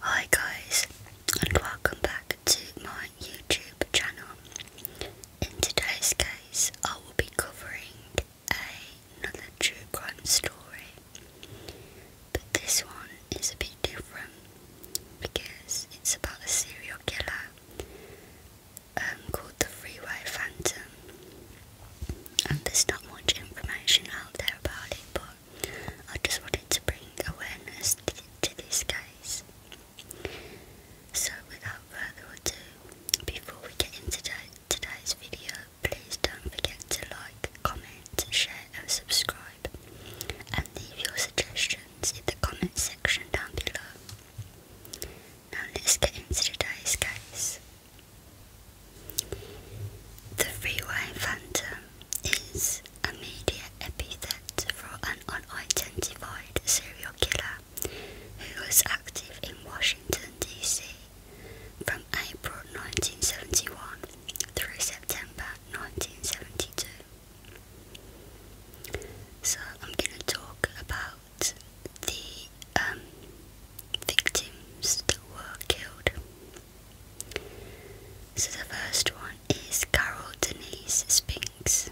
Hi guys and welcome back to my YouTube channel. In today's case I will be covering another true crime story but this one is a bit different because it's about a serial killer um, called the Freeway Phantom and there's not much information out there about it but I just wanted to bring awareness to, this case. So without further ado, before we get into today's video, please don't forget to like, comment, share and subscribe and leave your suggestions in the comment section down below. Now let's get into today's case. The Freeway Phantom is a media epithet for an unidentified serial killer who was active in Washington, D.C. from April 1971 through September 1972. So I'm going to talk about the um, victims that were killed. So the first one is Carol Denise Spinks.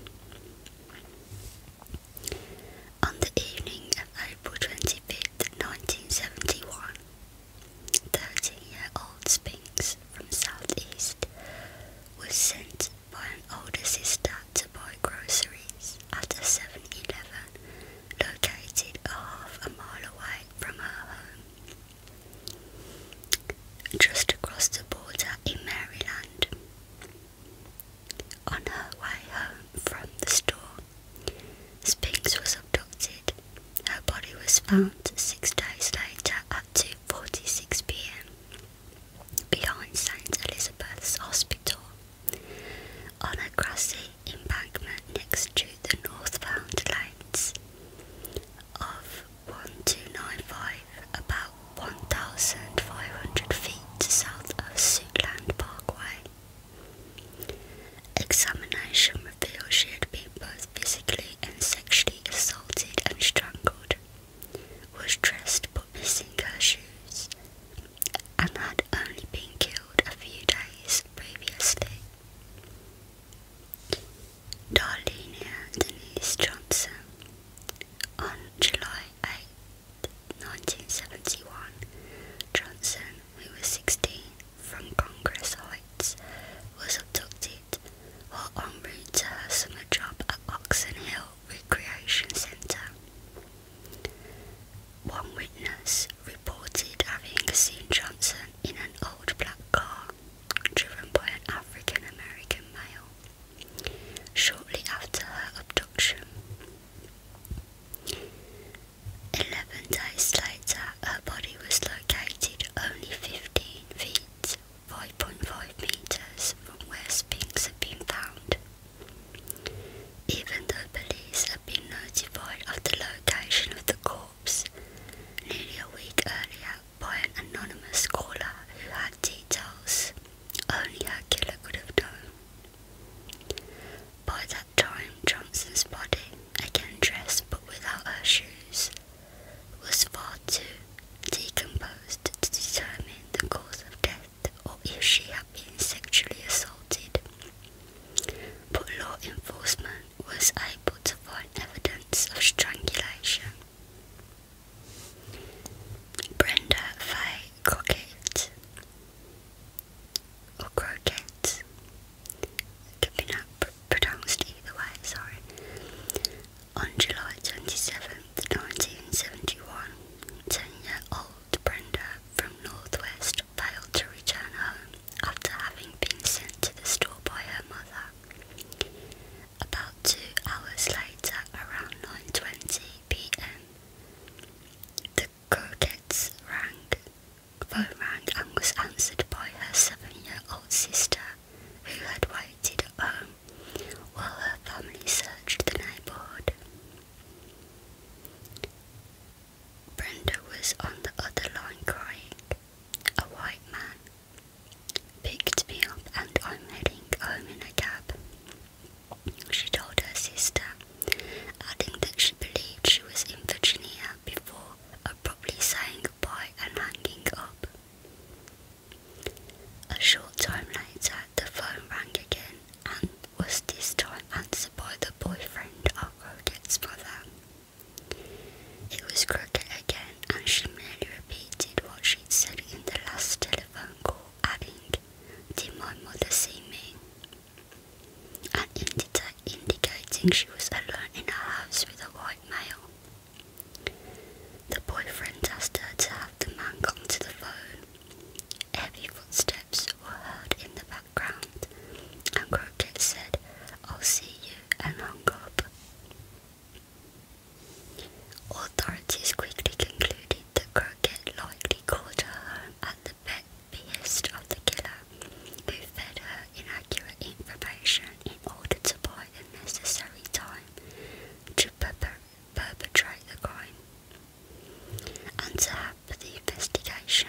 On the evening of April 25th, 1971, 13-year-old Spinks from Southeast was sent by an older sister to buy groceries at a 7-Eleven located half a mile away from her home just across the border in Maryland. On her way home from the store, Spinks was abducted. Her body was found six days later at 2.46 pm behind St. Elizabeth's Hospital on a grassy embankment next to the northbound lanes of 1295, about 1,500 feet south of Suitland Parkway. Examination revealed she had been both physically and sexually assaulted and strangled, was dressed but missing her shoes, and had only been killed a few days previously. Darlene Denise Johnson. On July 8, Johnson, who was 16, from Congress Heights, was abducted while en route to her summer job at Oxen Hill Recreation Centre. One witness reported having seen Johnson in an old black car driven by an African American male shortly after her abduction. Eleven days later, her body was located only 15 feet, 5.5 metres from where Spinks had been found. Even though police had been notified of the location of the car. Nearly a week earlier, by an anonymous caller who had details only her killer could have known. By that time, Johnson's body, again dressed but without her shoes, was far too decomposed to determine the cause of death or if she had been sexually assaulted. But law enforcement was able to find evidence of strangulation. Brenda Faye Crockett or Crockett, it can be either way, sorry. On July 27th, 1971, 10 year old Brenda from Northwest failed to return home after having been sent to the store by her mother. About two hours later, around 9.20 pm, the Croquettes rang, phone rang and was answered by her seven-year-old sister who had waited at home while her family searched the neighbourhood. Brenda was on the other line crying a white man, picked me up and I'm heading home in a cab. She told her sister, adding that she believed she was in Virginia before abruptly saying goodbye and hanging up. A short time later, the phone rang again and was this time answered by the boyfriend of Rodette's mother. It was crooked again, and she merely repeated what she'd said in the last telephone call, adding, Did my mother see me? and indicating she was alone in her house with a white male. The boyfriend asked her to have the man come to the phone. Heavy footsteps were heard in the background, and Crockett said, I'll see you, and hung up. Authorities quickly concluded that Crockett likely called her home at the behest of the killer, who fed her inaccurate information in order to buy the necessary time to perpetrate the crime and to have the investigation.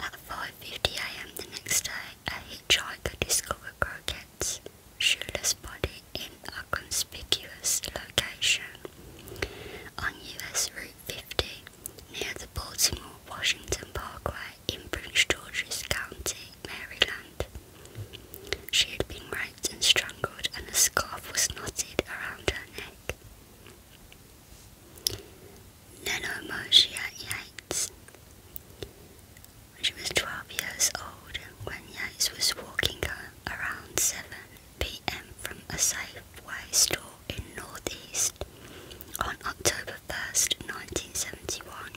At 5.50am the next day, a hitchhiker discovered Croquette's shoeless body in a conspicuous location on US Route 50 near the Baltimore-Washington Parkway in Prince George's County, Maryland. She had been raped and strangled and a scarf was knotted around her neck. Nanomosha Yates. She was 12 years old when Yates was walking around 7 pm from a Safeway store in Northeast on October 1st, 1971,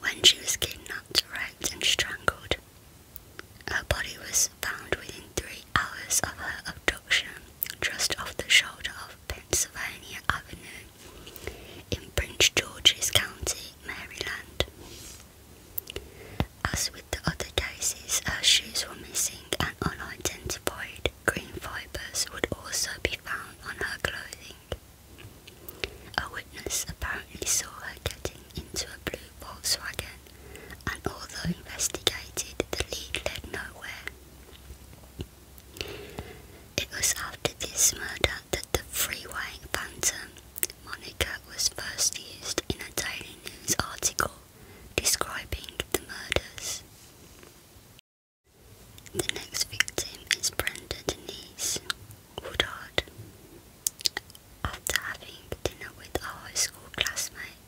when she was kidnapped, raped, and strangled. Her body was found within three hours of her abduction just off the shoulder of Pennsylvania Avenue in Prince George's County, Maryland. As with the other cases, her shoes were missing and unidentified green fibres would also be found on her clothing. A witness apparently saw her getting into a blue Volkswagen and although investigated, the lead led nowhere. It was after this murder that the freeway phantom moniker was first used in a daily news article describing the murders. The next victim is Brenda Denise Woodard. After having dinner with a high school classmate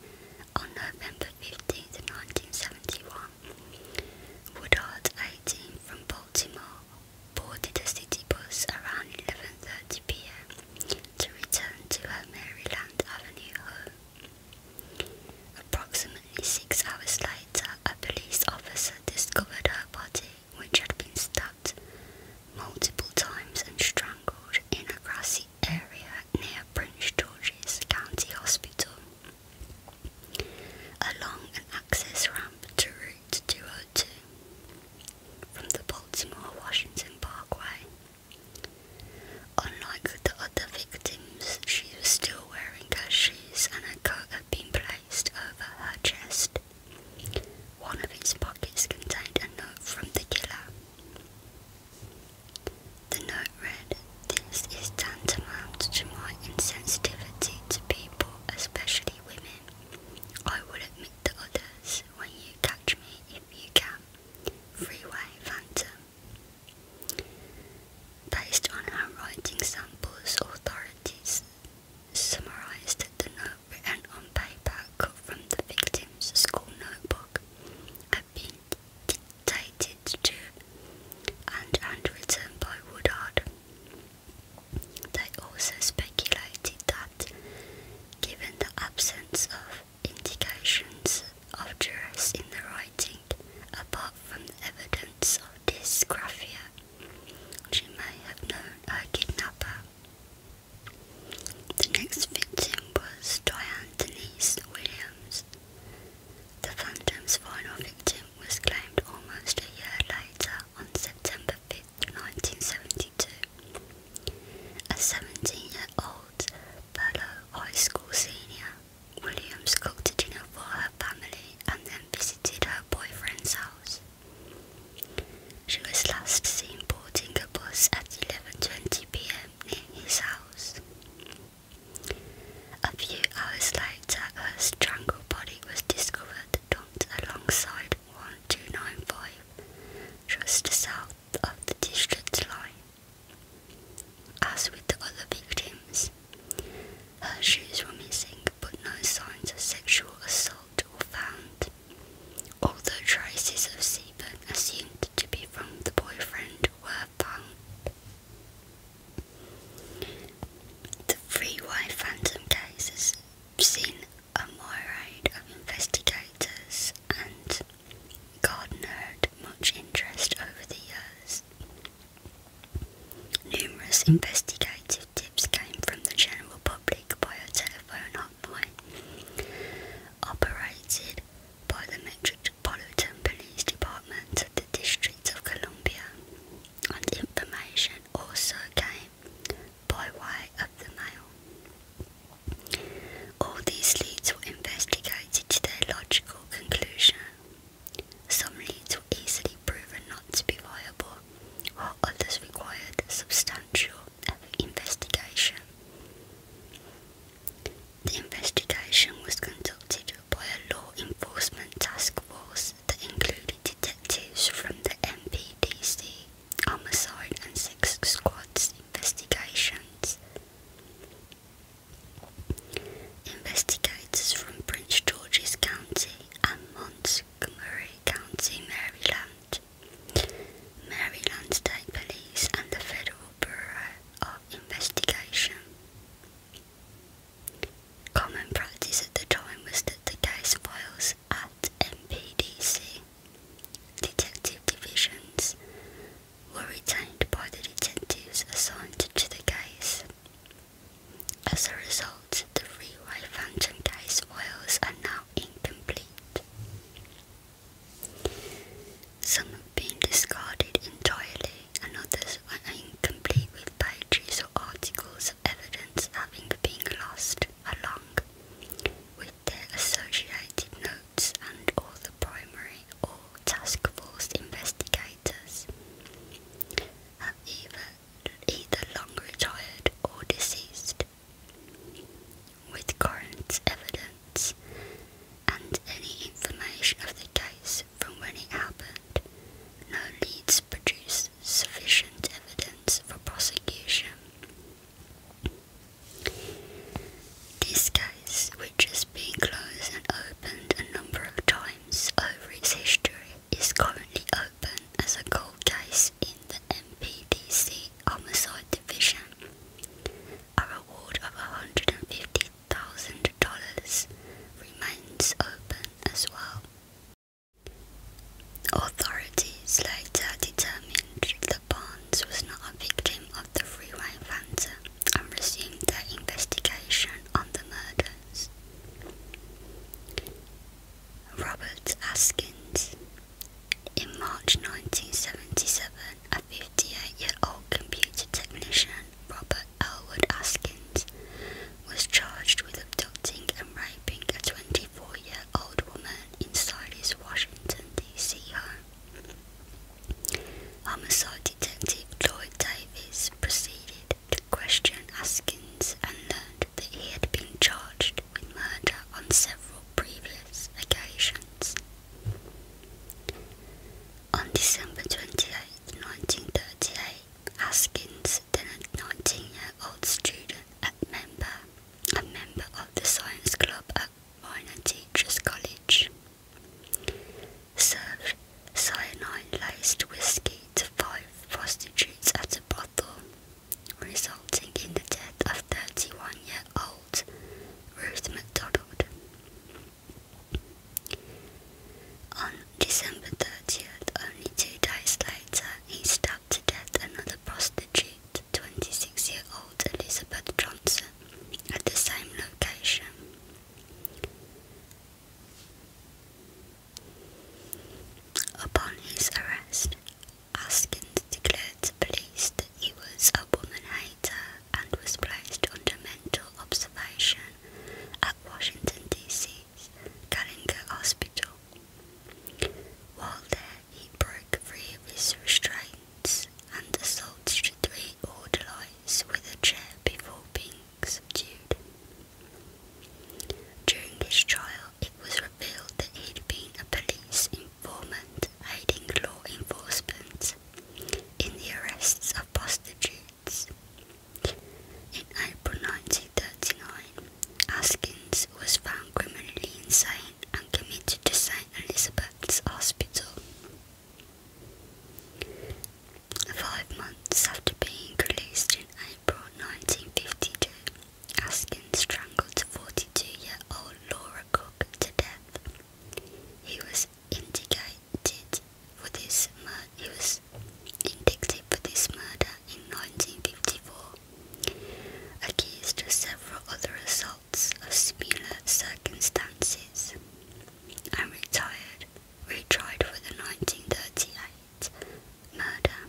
on November fifteenth, 1971, Woodard, 18, from Baltimore, boarded a city bus around 11.30 p.m. to return to her Maryland Avenue home. Approximately six hours later, a police officer discovered her body, which had been stabbed multiple times and strangled in a grassy area near Prince George's County Hospital, along an access ramp to Route 202 from the Baltimore Washington Parkway. Unlike the other victims, she was still wearing her shoes and a coat had been placed over her chest. One of its pockets contained a note from the killer. The note read, This is tantamount to my insensitivity to people, especially women. I will admit the others when you catch me if you can. Freeway Phantom. Based on her writing samples, authorities summarized the note written on paper cut from the victim's school notebook been dictated to and handwritten by Woodard. They also speculated that, given the absence of indications of duress in the writing, apart from evidence of dysgraphia, she may have known her kidnapper. The next victim was Diane Denise Williams, the Phantom's final victim was claimed almost a year later on September fifth, 1972. A 17-year-old fellow high school senior, Williams cooked a dinner for her family and then visited her boyfriend's house. She was last seen boarding a bus at 11.20pm near his house. A few hours later, her strangled body was discovered dumped alongside 1295, just south of the district line. As with the other victims, her shoes were missing, but no signs of sexual assault were found, although traces of semen assumed to be from the boyfriend were the Free White Phantom case has seen a myriad of investigators and gardenered much interest over the years. Numerous investigative tips came from the general public by telephone hotline operated by the Metropolitan Police Department of the District of Columbia, and information also came by way of the mail. All these leads were investigated to their logical conclusion. Some leads were easily proven not to be viable, while others required substantial investigation. The investigation was conducted by a law enforcement task force that included detectives from the MPDC, Homicide and Sex Squad's investigations. Investigators from Prince George's County and Montgomery County, Maryland, Maryland State Police and the Federal Bureau of investigation. Common practice at the time was that the case files at MPDC detective divisions were retained by the detectives assigned to the case. As a result, the Freeway Phantom case files are now incomplete. Some have been discarded entirely, and others are incomplete with pages or articles of evidence having been lost, along with their associated notes and all the primary or task force investigators have either, either long retired or deceased. With current evidence and any information of the case from when it happened, no leads produce sufficient evidence for prosecution. This case, which has been closed and opened a number of times over its history, is currently open as a cold case in the MPDC Homicide Division. A reward of £150,000 thousand dollars remains open as well. Authorities later determined that Barnes was not a victim of the freeway phantom and resumed their investigation on the murders. Robert Askins. In March 1977, a 58-year-old computer technician, Robert Elwood Askins, was charged with abducting and raping a 24-year-old woman inside his Washington, D.C. home. Homicide Detective Lloyd Davis proceeded to question Askins and learned that he had been charged with murder on several previous occasions. On December 28, 1938, Haskins, then a 19-year-old student at member, a member of the science club at Minor Teachers College, served cyanide-laced whiskey to five prostitutes at a brothel, resulting in the death of 31-year-old Ruth McDonald. On December 30th, only two days later, he stabbed to death another prostitute, 26 year old Elizabeth Johnson, at the same location. Upon his arrest, Haskins declared to police that he was a woman and was placed under mental observation at Washington, D.C.'s Gallagher Hospital. While there, he broke free of his restraints and assaulted three orderlies with a chair before being subdued. During his trial, it was revealed that he'd been a police informant aiding law enforcement in the arrests of prostitutes. In April 1939, Askins was found criminally insane and committed to St. Elizabeth's Hospital. Five months after being released in April 1952, Askins strangled a 42 year old Laura Cook to death. He was indicated for this murder. He was indicted for this murder in 1954, accused of several other assaults of similar circumstances, and retired, retried for the 1938 murder.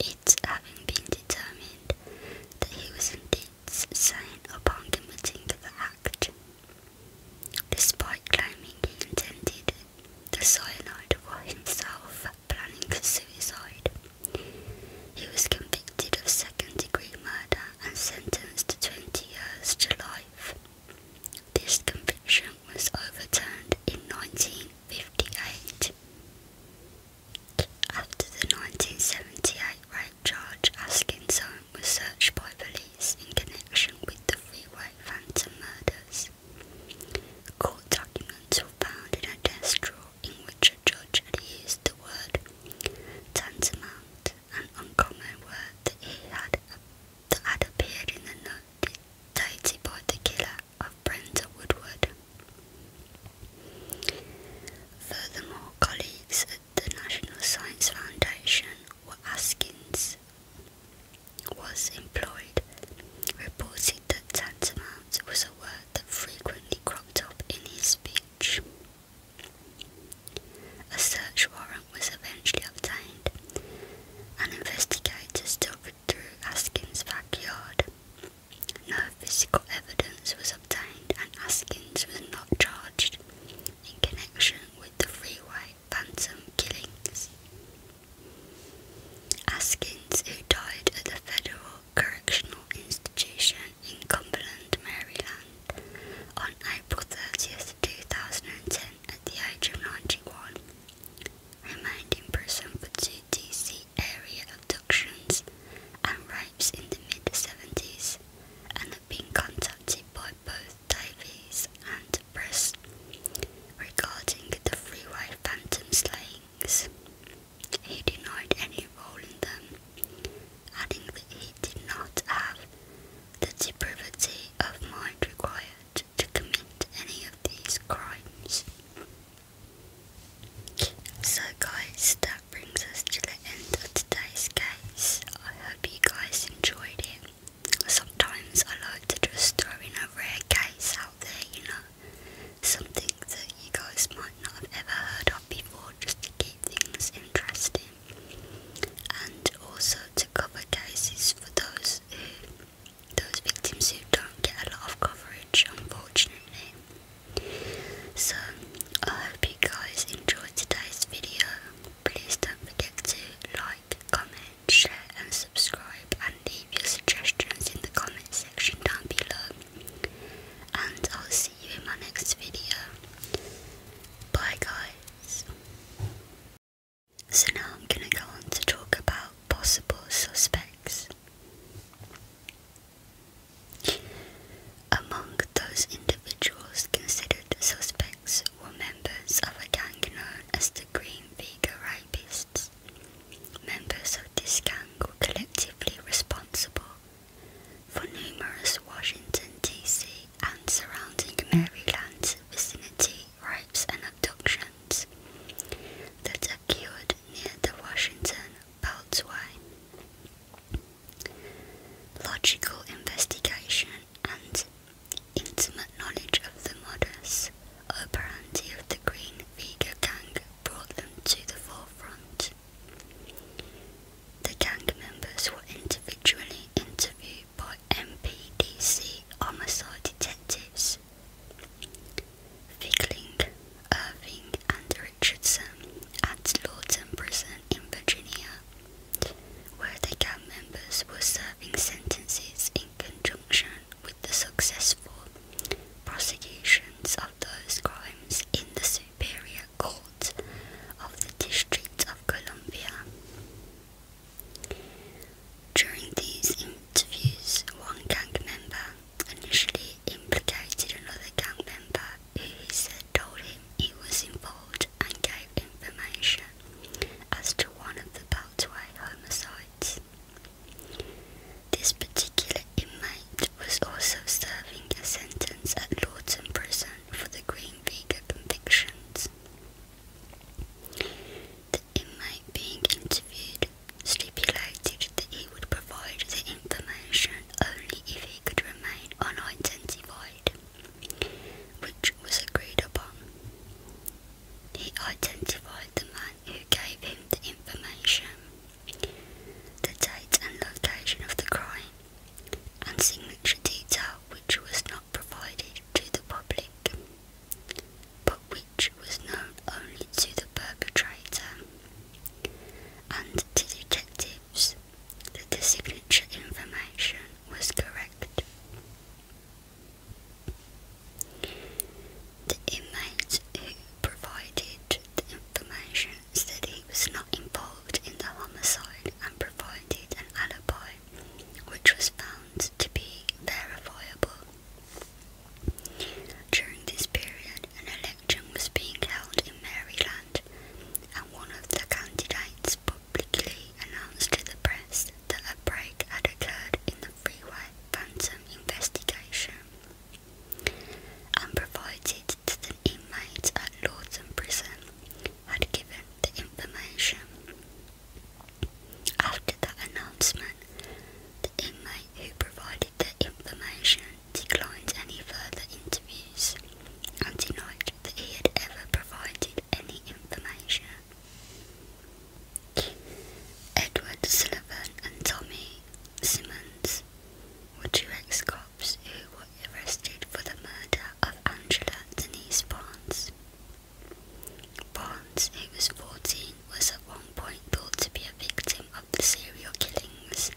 It having been determined that he was indeed signed upon committing the act. Despite claiming he intended the cyanide for himself, planning suicide, he was convicted of second-degree murder and sentenced to 20 years to life. This conviction was overturned in 1958. After the 1978 rape George Askinson was searched by police in connection with the freeway phantom murders. Court documents found in a desk drawer in which a judge had used the word tantamount, an uncommon word that he had that had appeared in the note dictated by the killer of Brenda Woodward. Furthermore, colleagues the National Science Foundation or Askins was employed reported that tantamount was a word that frequently cropped up in his speech. A search warrant was eventually obtained, and investigators still through Askins' backyard. No physical evidence was obtained and Askins was not charged in connection with the freeway phantom killings. Askins, who died at the Federal Correctional Institution in Cumberland, Maryland, on April 30th, 2010, at the age of 91, remained in prison for two DC area abductions and rapes in the mid 70s and been contacted by both Davies and Press regarding the freeway phantom slayings. He denied any role in them, adding that he did not have the depravity of mind required to commit any of these crimes. So, guys, brings us to the end of today's case. I hope you guys enjoyed it. Sometimes I like to just throw in a rare case out there, you know, something that you guys might not have ever heard of before, just to keep things interesting. And also to cover cases for those those victims who don't get a lot of coverage, unfortunately. So I hope you guys enjoyed today's video. Please don't forget to like, comment, share and subscribe and leave your suggestions in the comment section down below. And I'll see you in my next video. Bye guys. So now I'm going to go on to talk about possible suspects. Among those individuals considered suspects were members of a gang known as the Green Vega Rapists. Members of this gang were collectively responsible for numerous Washington, D.C. and surrounding Maryland vicinity rapes and abductions that occurred near the Washington Beltway logical investigation, and intimate knowledge of the modus operandi of the Green Vega gang brought them to the forefront. The gang members were individually interviewed by MPDC homicide detectives. Fickling, Irving, and Richardson at Lawton Prison in Virginia, where the gang members were serving sentences in conjunction with the successful prosecutions of those crimes in the Superior Court of the District of Columbia. During these interviews, one gang member initially implicated another gang member he said told him he was involved and gave information as to one of the Beltway homicides. This particular inmate was also serving a sentence at Lawton Prison for the Green Vega convictions. The inmate being interviewed stipulated that he would provide the information only if he could remain unidentified, which was agreed upon. He identified the man who gave him the information, the date and location of the crime, and signature detail which was not provided to the public, but which was known only to the perpetrator and to detectives that the signature information was correct. The inmate who provided the information said he was not involved in the homicide and provided an alibi, which was found to be verifiable. During this period, an election was being held in Maryland and one of the candidates publicly announced to the press that a break had occurred in the freeway phantom investigation and provided that an inmate at Lawton Prison had given the information. After that announcement, the inmate who provided the information declined any further interviews and denied that he had ever provided any information. Edward Sullivan and Tommy Simmons were two ex-cops who were arrested for the murder of Angela Denise Barnes. Barnes, who was 14, was at one point thought to be a victim of the serial killings